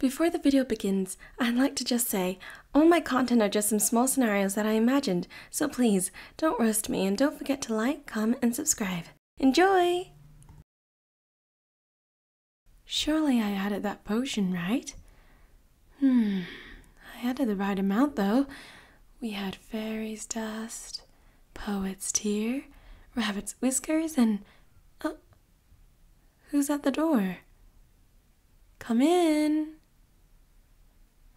Before the video begins, I'd like to just say, all my content are just some small scenarios that I imagined, so please, don't roast me and don't forget to like, comment, and subscribe. Enjoy! Surely I added that potion, right? Hmm, I added the right amount though. We had fairies' dust, poet's tear, rabbit's whiskers, and... Oh, Who's at the door? Come in.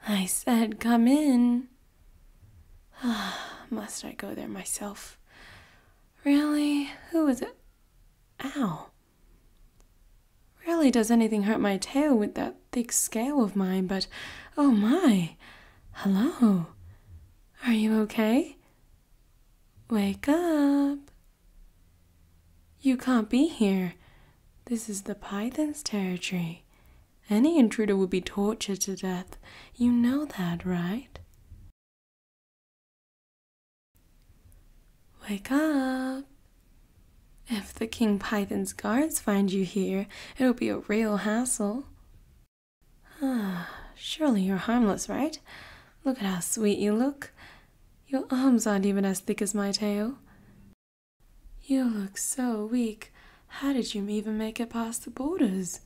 I said, come in. Ah, Must I go there myself? Really? Who is it? Ow. Really, does anything hurt my tail with that thick scale of mine, but oh my. Hello. Are you okay? Wake up! You can't be here. This is the python's territory. Any intruder would be tortured to death. You know that, right? Wake up! If the king python's guards find you here, it'll be a real hassle. Ah, surely you're harmless, right? Look at how sweet you look. Your arms aren't even as thick as my tail. You look so weak. How did you even make it past the borders?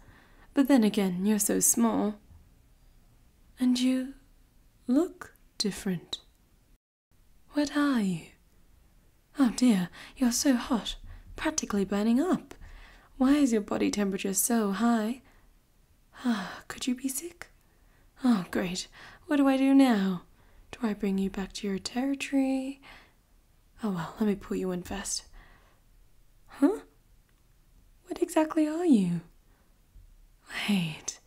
But then again, you're so small. And you look different. What are you? Oh dear, you're so hot, practically burning up. Why is your body temperature so high? Ah, could you be sick? Oh, great. What do I do now? Do I bring you back to your territory? Oh well, let me pull you in first. Huh? What exactly are you? Wait,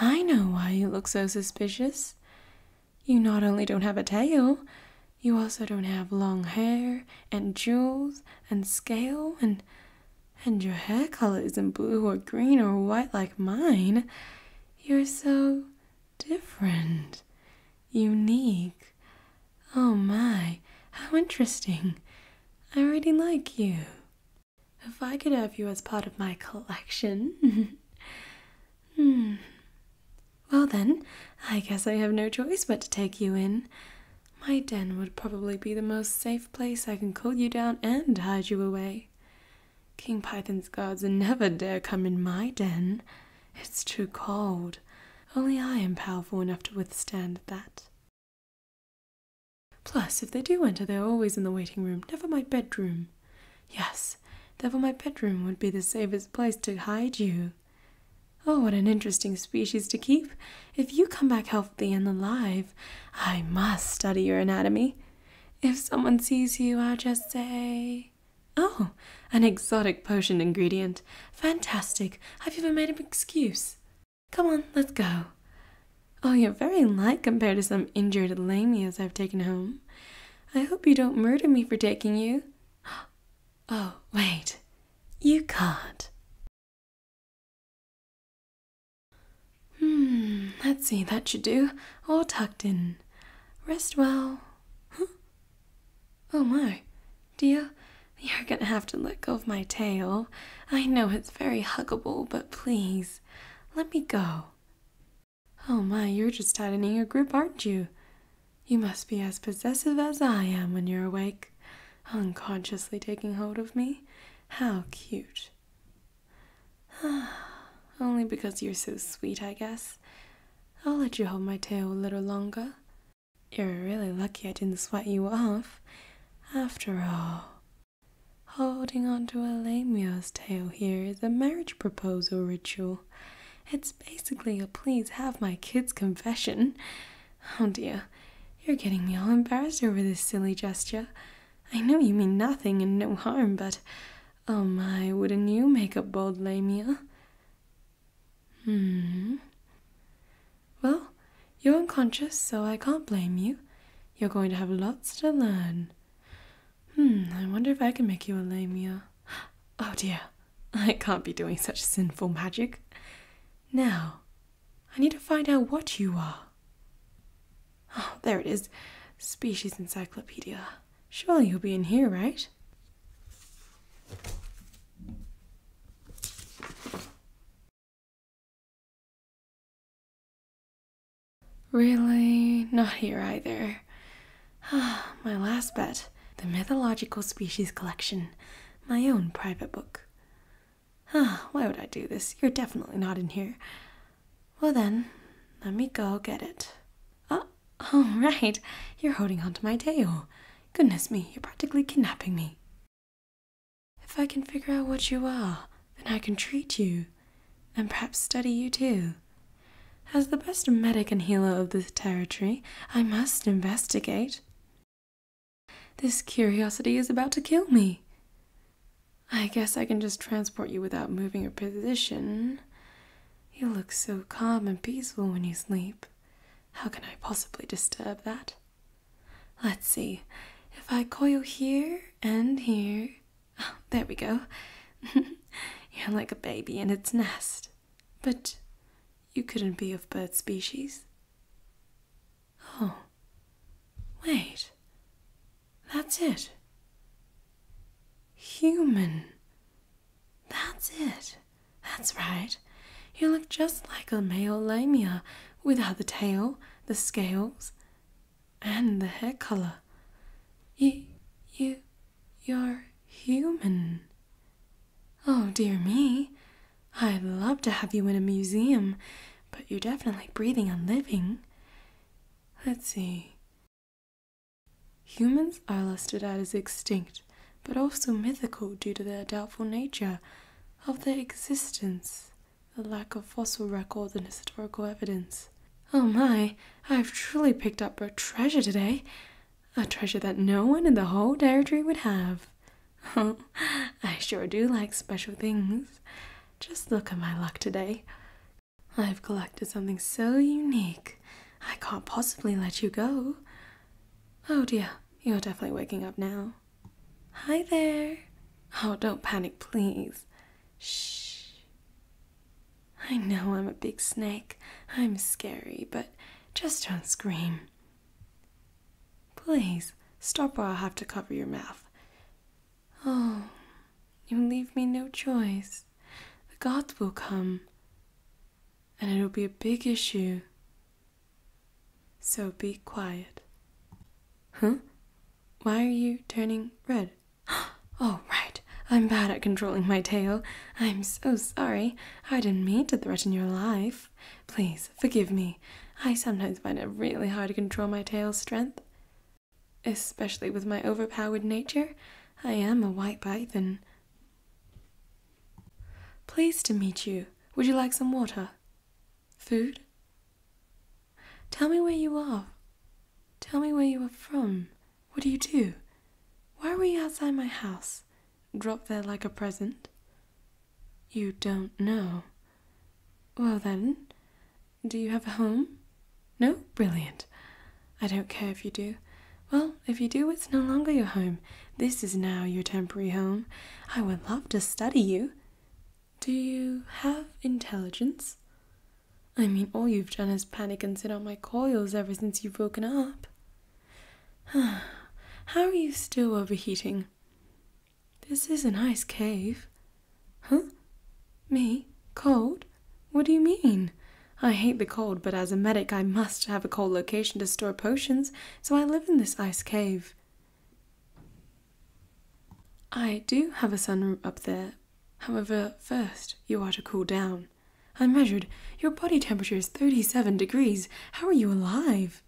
I know why you look so suspicious. You not only don't have a tail, you also don't have long hair and jewels and scale and and your hair color isn't blue or green or white like mine. You're so different, unique. Oh my, how interesting. I really like you. If I could have you as part of my collection. hmm. Well, then, I guess I have no choice but to take you in. My den would probably be the most safe place I can cool you down and hide you away. King Python's guards never dare come in my den. It's too cold. Only I am powerful enough to withstand that. Plus, if they do enter, they're always in the waiting room, never my bedroom. Yes, therefore my bedroom would be the safest place to hide you. Oh, what an interesting species to keep. If you come back healthy and alive, I must study your anatomy. If someone sees you, I'll just say, Oh, an exotic potion ingredient. Fantastic. Have you ever made an excuse. Come on, let's go. Oh, you're very light compared to some injured lamias I've taken home. I hope you don't murder me for taking you. Oh, wait. You can't. Hmm, let's see, that should do. All tucked in. Rest well. Oh my, dear, you're gonna have to let go of my tail. I know it's very huggable, but please, let me go. Oh my, you're just tightening your grip, aren't you? You must be as possessive as I am when you're awake, unconsciously taking hold of me. How cute. Only because you're so sweet, I guess. I'll let you hold my tail a little longer. You're really lucky I didn't sweat you off. After all, holding onto a lemur's tail here is a marriage proposal ritual. It's basically a please have my kids confession. Oh dear, you're getting me all embarrassed over this silly gesture. I know you mean nothing and no harm, but oh my, wouldn't you make a bold lamia? Hmm. Well, you're unconscious, so I can't blame you. You're going to have lots to learn. Hmm, I wonder if I can make you a lamia. Oh dear, I can't be doing such sinful magic. Now, I need to find out what you are. Oh, there it is Species Encyclopedia. Surely you'll be in here, right? Really? Not here either. Ah, My last bet the Mythological Species Collection, my own private book. Ah, Why would I do this? You're definitely not in here. Well, then, let me go get it. Oh, all right. You're holding onto my tail. Goodness me, you're practically kidnapping me. If I can figure out what you are, then I can treat you, and perhaps study you too. As the best medic and healer of this territory, I must investigate. This curiosity is about to kill me. I guess I can just transport you without moving your position. You look so calm and peaceful when you sleep. How can I possibly disturb that? Let's see. If I coil here and here. Oh, there we go. You're like a baby in its nest. But you couldn't be of bird species. Oh, wait. That's it. Human. That's it. That's right. You look just like a male lamia without the tail, the scales, and the hair color. You, you, you're human. Oh dear me, I'd love to have you in a museum, but you're definitely breathing and living. Let's see. Humans are listed as extinct, but also mythical due to their doubtful nature of their existence, the lack of fossil records and historical evidence. Oh my, I've truly picked up a treasure today a treasure that no one in the whole territory would have. I sure do like special things. Just look at my luck today. I've collected something so unique. I can't possibly let you go. Oh dear, you're definitely waking up now. Hi there. Oh, don't panic, please. Shh. I know I'm a big snake. I'm scary, but just don't scream. Please stop, or I'll have to cover your mouth. Oh, you leave me no choice. The gods will come, and it'll be a big issue. So be quiet. Huh? Why are you turning red? Oh, right. I'm bad at controlling my tail. I'm so sorry. I didn't mean to threaten your life. Please forgive me. I sometimes find it really hard to control my tail's strength. Especially with my overpowered nature. I am a white python. Pleased to meet you. Would you like some water? Food? Tell me where you are. Tell me where you are from. What do you do? Why were you outside my house? Dropped there like a present? You don't know. Well then, do you have a home? No? Brilliant. I don't care if you do. Well, if you do, it's no longer your home. This is now your temporary home. I would love to study you. Do you have intelligence? I mean, all you've done is panic and sit on my coils ever since you've woken up. How are you still overheating? This is an ice cave. Huh? Me? Cold? What do you mean? I hate the cold, but as a medic, I must have a cold location to store potions, so I live in this ice cave. I do have a sunroom up there. However, first, you are to cool down. I measured. Your body temperature is 37 degrees. How are you alive?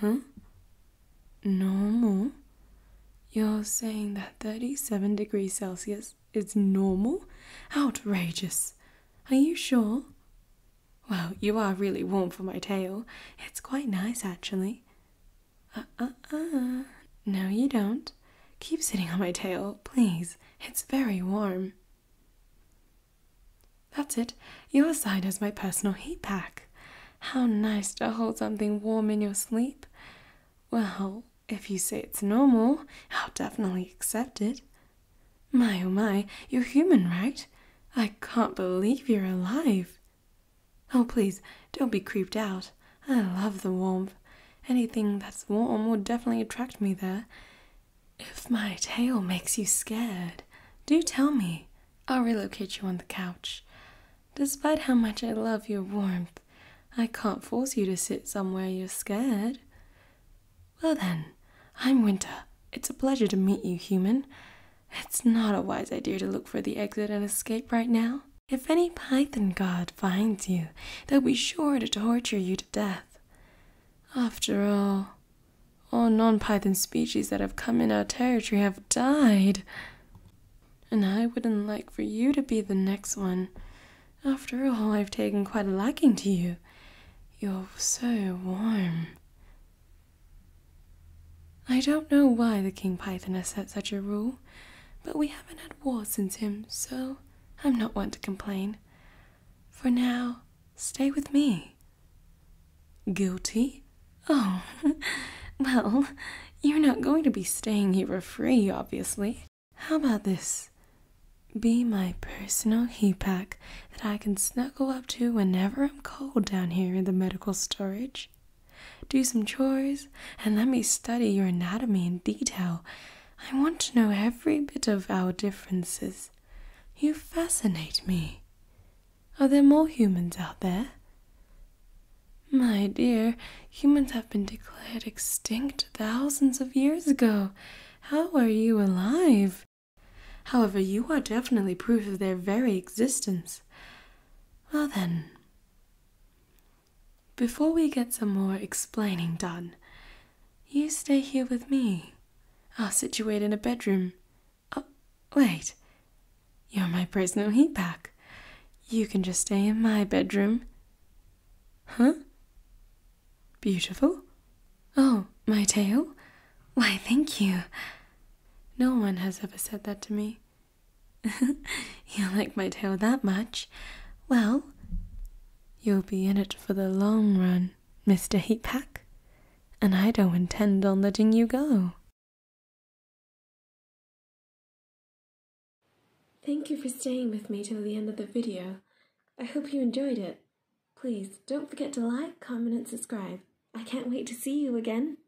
Huh? Normal? You're saying that 37 degrees Celsius is normal? Outrageous. Are you sure? Well, you are really warm for my tail. It's quite nice, actually. Uh uh uh. No, you don't. Keep sitting on my tail, please. It's very warm. That's it. Your side has my personal heat pack. How nice to hold something warm in your sleep. Well, if you say it's normal, I'll definitely accept it. My oh my, you're human, right? I can't believe you're alive. Oh, please, don't be creeped out. I love the warmth. Anything that's warm will definitely attract me there. If my tail makes you scared, do tell me. I'll relocate you on the couch. Despite how much I love your warmth, I can't force you to sit somewhere you're scared. Well, then, I'm Winter. It's a pleasure to meet you, human. It's not a wise idea to look for the exit and escape right now. If any python god finds you, they'll be sure to torture you to death. After all, all non python species that have come in our territory have died. And I wouldn't like for you to be the next one. After all, I've taken quite a liking to you. You're so warm. I don't know why the king python has set such a rule but we haven't had war since him, so I'm not one to complain. For now, stay with me. Guilty? Oh, well, you're not going to be staying here for free, obviously. How about this? Be my personal heat pack that I can snuggle up to whenever I'm cold down here in the medical storage do some chores, and let me study your anatomy in detail. I want to know every bit of our differences. You fascinate me. Are there more humans out there? My dear, humans have been declared extinct thousands of years ago. How are you alive? However, you are definitely proof of their very existence. Well then, before we get some more explaining done, you stay here with me. I'll situate in a bedroom. Oh, wait. You're my personal heat pack. You can just stay in my bedroom. Huh? Beautiful? Oh, my tail? Why, thank you. No one has ever said that to me. you like my tail that much? Well, you'll be in it for the long run, Mr. Heatpack, and I don't intend on letting you go. Thank you for staying with me till the end of the video. I hope you enjoyed it. Please don't forget to like, comment, and subscribe. I can't wait to see you again.